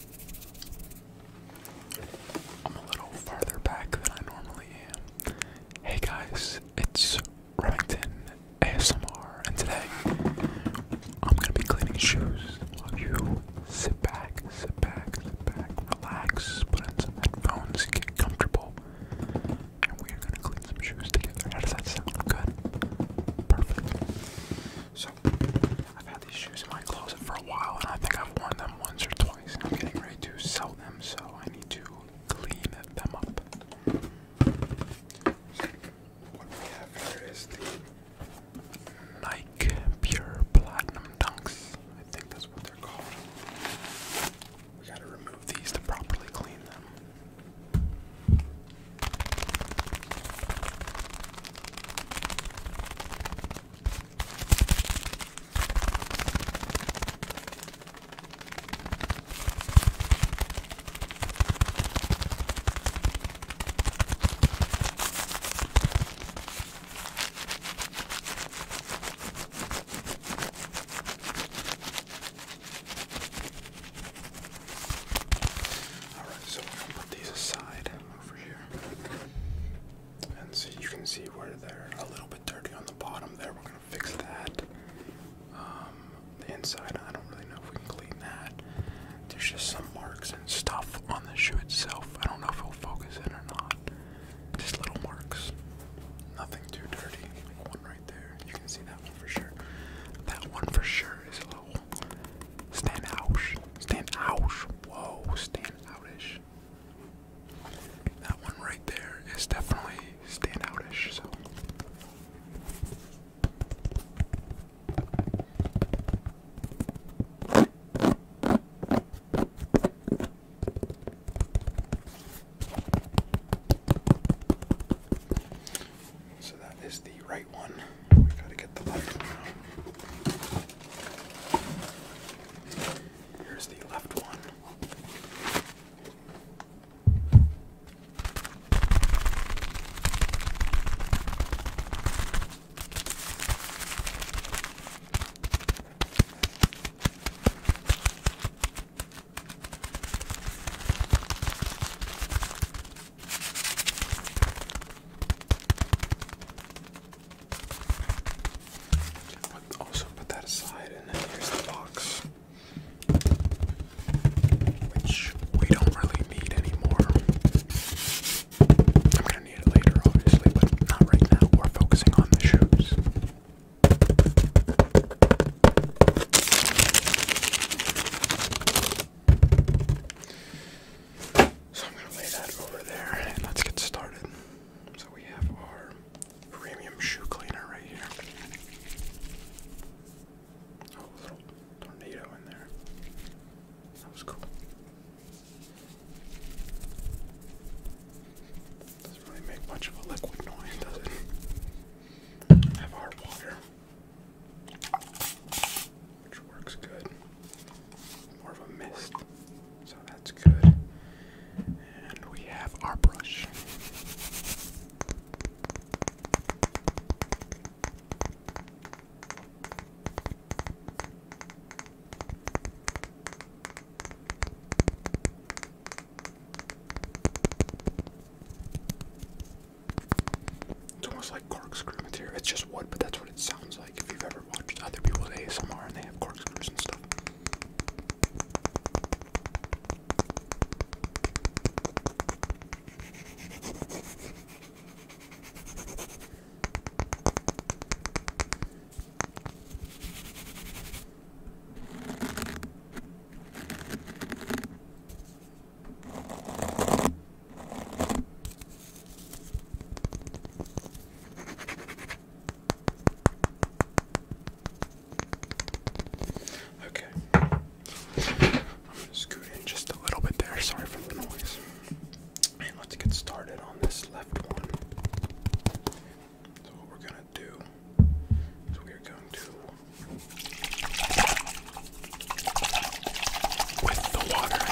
I'm Hey guys, it's Remington ASMR, and today I'm gonna be cleaning shoes while you sit back, sit back, sit back, relax, put in some headphones, get comfortable, and we are gonna clean some shoes together. How does that sound? Good? Perfect. So, I've had these shoes in my closet for a while, and I think I've worn them once or twice. I'm getting ready to sell them, so I need to clean them up. What we have here is the Nike Pure Platinum Dunks. I think that's what they're called. We gotta remove these to properly clean them. Alright, so we're going to put these aside over here. And so you can see where they're a little bit dirty on the bottom there. We're gonna fix that. Um, the inside, I don't really know if we can clean that. There's just some marks and stuff on the shoe itself. I don't know if it'll focus in or not. Just little marks. Nothing too dirty. one right there. You can see that one for sure. That one for sure is a little Stand out. Whoa, stand outish. That one right there is definitely stand outish, so so that is the right one. We gotta get the left one Here's the left one also put that aside, and then here's the box, which we don't really need anymore. I'm gonna need it later, obviously, but not right now. We're focusing on the shoes. So I'm gonna lay that over there let's get started. So we have our premium shoe cleaner right here. Oh, a little tornado in there. That was cool. Doesn't really make much of a liquid noise, does it? Have our water which works good. More of a mist, so that's good. And we have our brush. It's almost like corkscrew material. It's just wood, but that's what it sounds like if you've ever watched other people's ASMR and they have corkscrews and stuff. Okay. I'm gonna scoot in just a little bit there. Sorry for the noise. And let's get started on this left one. So what we're gonna do is we are going to with the water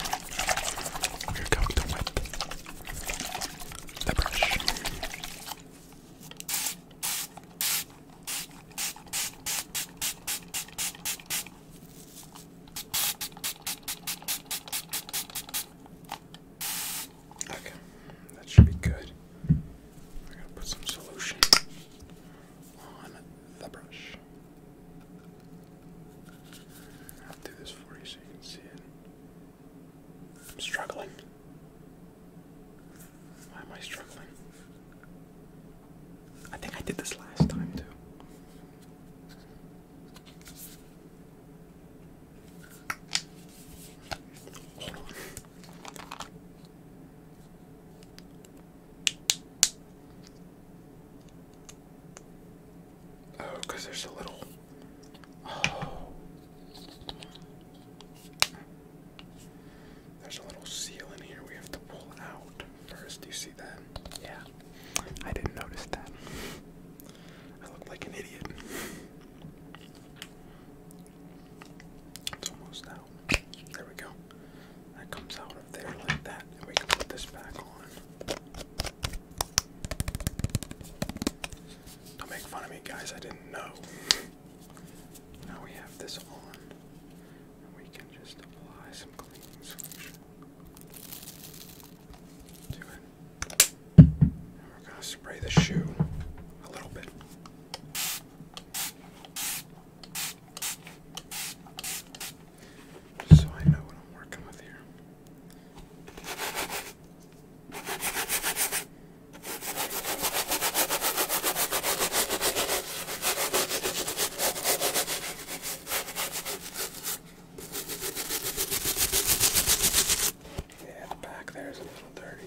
we're going to wet the brush. Okay, that should be good. We're gonna put some solution on the brush. I'll do this for you so you can see it. I'm struggling. Why am I struggling? I think I did this last time too. Oh, because there's a little. Oh. There's a little seal in here we have to pull out first. Do you see that? Yeah. I didn't notice that. I look like an idiot. It's almost out. There we go. That comes out of there like that, and we can put this back on. Don't make fun of me, guys. I didn't know. Now we have this on, and we can just apply some cleaning solution to it. And we're gonna spray the shoe a little bit. So I know what I'm working with here. Yeah, the back there is a little dirty.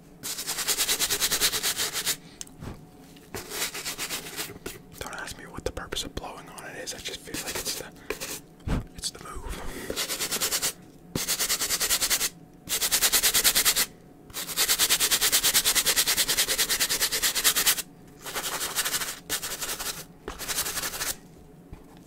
Don't ask me what the purpose of blowing on it is. I just feel like it's the it's the move.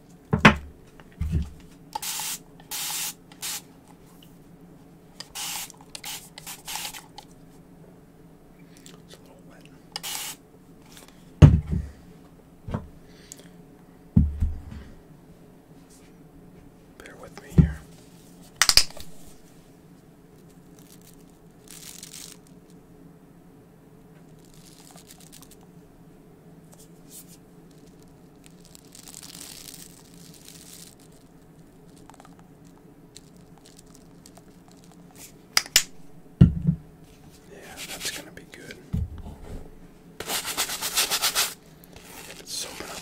It's a little wet. Bear with me here. Yeah, that's gonna be good. Let's open up.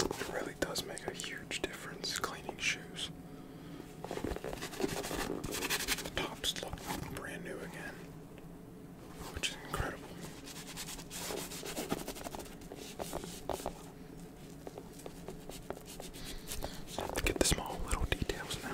It really does make a huge difference cleaning shoes. The tops look brand new again, which is incredible. I have to get the small little details now.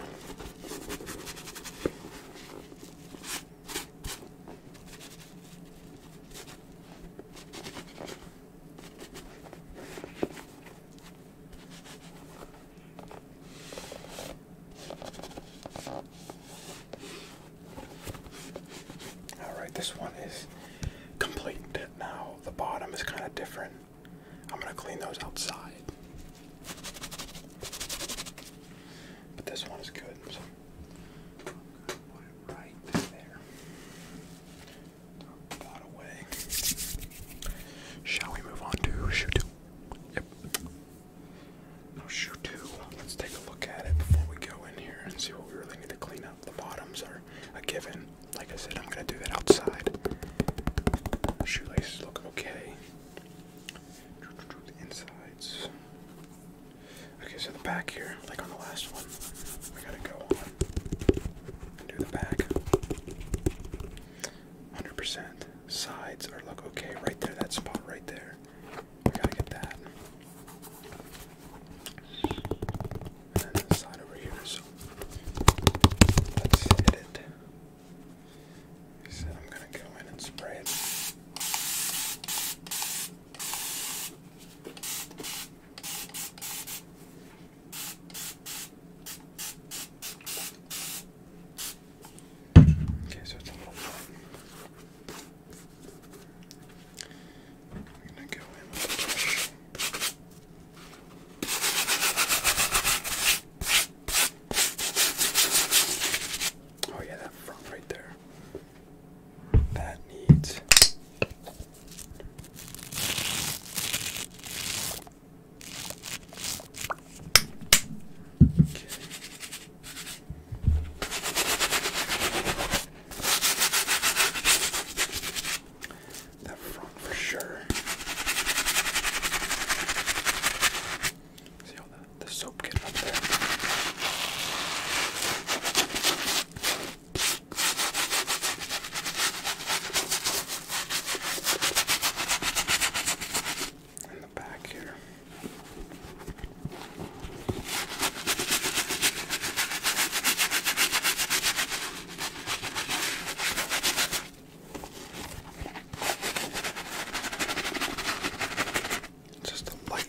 Alright, this one is complete. Now the bottom is kind of different. I'm going to clean those outside. But this one is good. Shall we move on to shoe two? Yep. Now shoe two. Let's take a look at it before we go in here and see what we really need to clean the bottoms are a given. Like I said, I'm gonna do that outside. Shoelaces look okay. The insides. Okay, so the back here, like on the last one, we gotta go on and do the back. 100%. Sides are look okay right there, that spot right there. We gotta get that. And then the side over here, so let's hit it. So I'm gonna go in and spray it. Okay, so it's a little fun. I'm gonna go in with a brush. Oh yeah, that front right there. That needs Okay. That front for sure. See all the, the soap getting up there. In the back here. Just a light.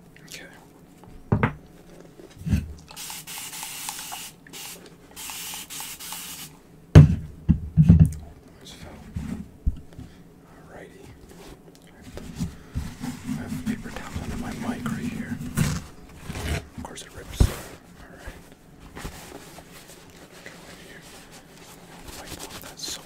Okay. Almost fell. I have paper towel under my mic right here. Of course it rips. Alright. Go in here. Wipe off that soap.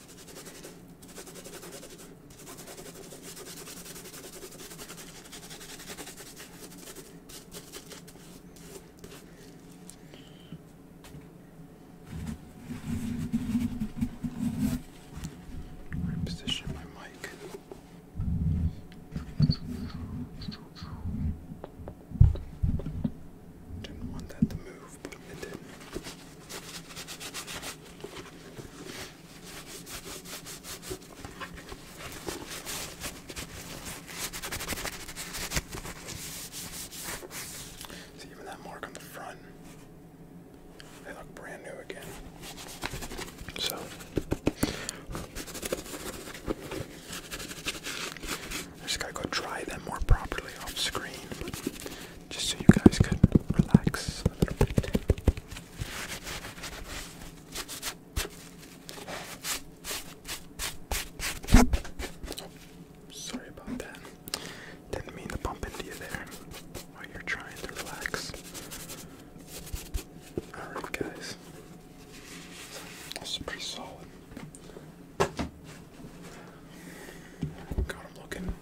Reposition my mic. Didn't want that to move, but it did. See, even that mark on the front, they look brand new again. So, I just gotta go dry them more properly off screen just so you guys can relax a little bit. sorry about that. Didn't mean to bump into you there while you're trying to relax. Alright, guys. This is pretty solid. Got looking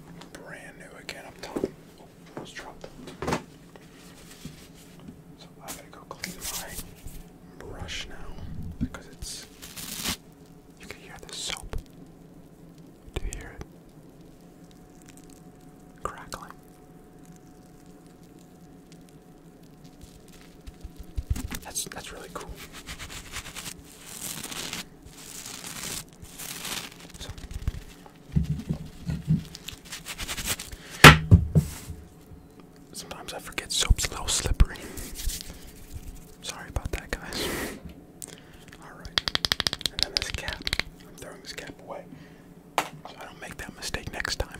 brand new again up top. Oh, almost dropped. So I gotta go clean my brush now because it's. You can hear the soap. Do you hear it? Crackling. That's that's really cool. Sometimes I forget soap's a little slippery. Sorry about that, guys. Alright. And then this cap. I'm throwing this cap away so I don't make that mistake next time.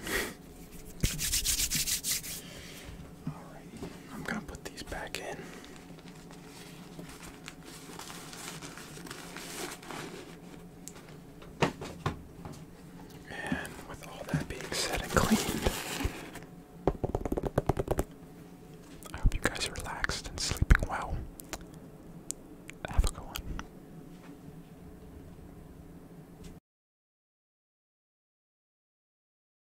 Alright. I'm going to put these back in. And with all that being said and cleaned, I hope you guys are relaxed and sleeping well. Have a good one.